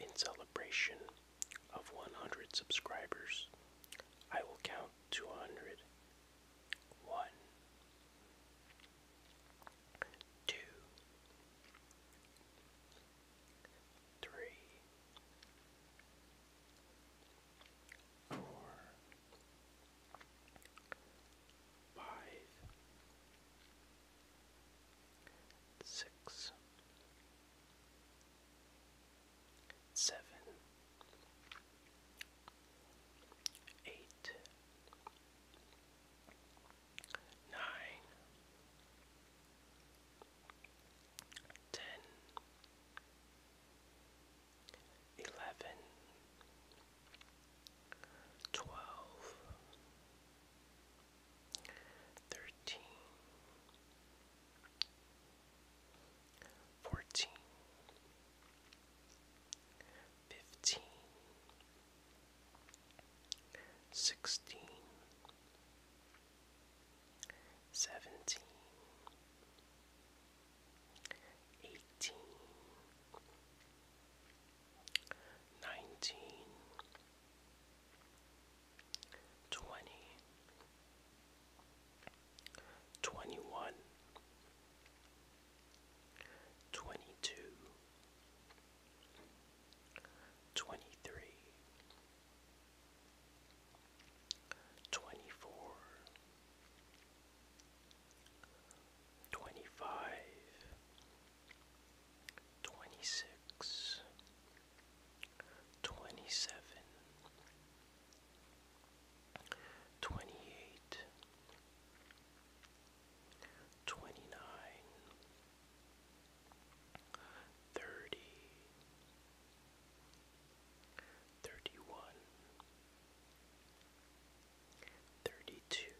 In celebration of 100 subscribers, I will count to 100. 1, six, seven, eight, nine, ten, eleven, twelve thirteen, fourteen, fifteen, sixteen, seventeen, eighteen nineteen, twenty, twenty-one, twenty-two, twenty-three, twenty-four, twenty-five. 26 27 28 29 30 31 thirty-two,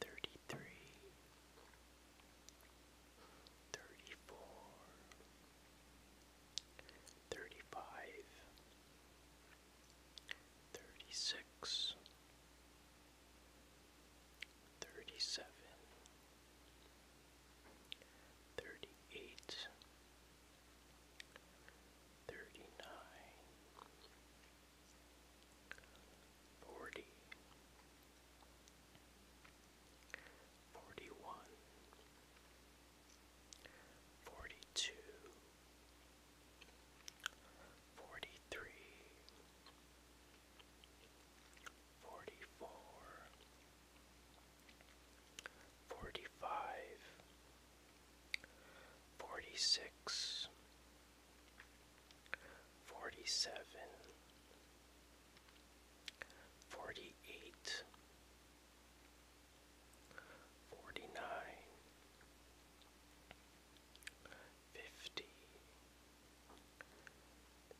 thirty-three, thirty-four, thirty-five, thirty-six, thirty-seven, thirty-eight, thirty-nine, forty, forty-one, forty-two, forty-three, forty-four, forty-five. 45 forty six, forty seven, forty eight, forty nine, fifty,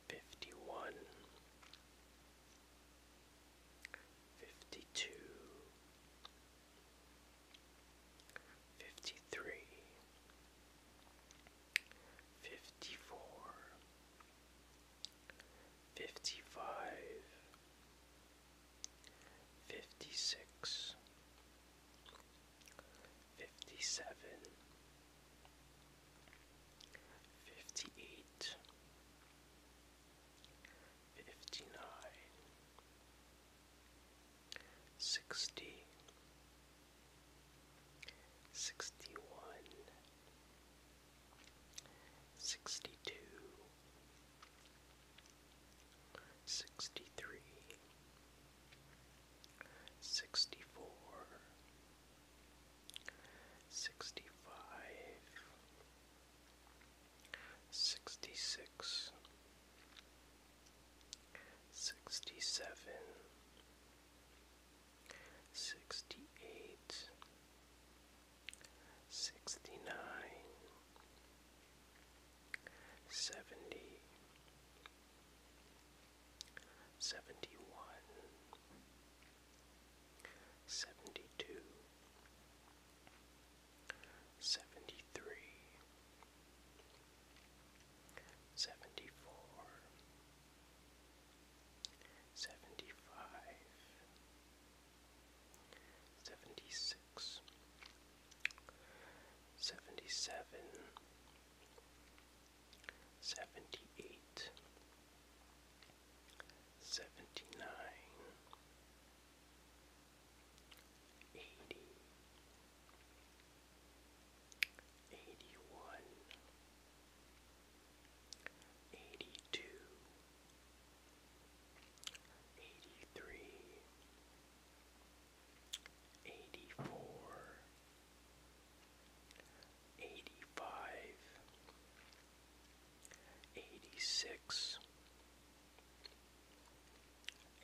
fifty one. 52 fifty three, fifty four, fifty five, fifty six, fifty seven, fifty eight. 58 fifty nine, sixty, sixty one, sixty two, sixty three, sixty four, sixty five. 65 sixty six, sixty seven, sixty eight, sixty nine, seventy, seventy one. 71 seventy two, seventy three, seventy four, seventy five, seventy six, seventy seven, seventy eight seventy-nine, eighty, eighty-one, eighty-two, eighty-three, eighty-four, eighty-five, eighty-six,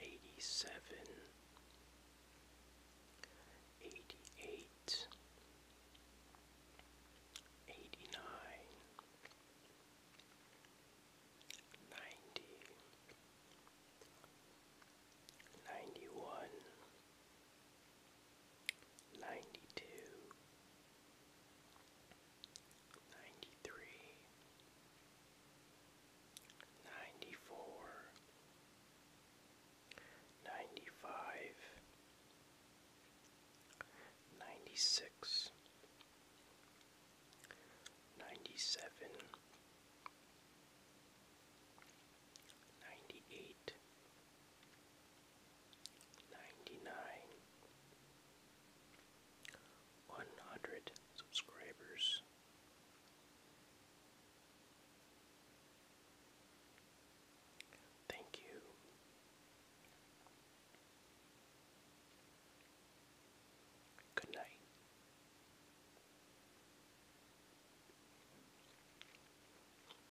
eighty-seven, eighty-eight, eighty-nine, ninety, ninety-one ninety two, ninety three, ninety four, ninety five, ninety six, ninety seven. 98 ninety-nine, one hundred subscribers. Thank you. Good night.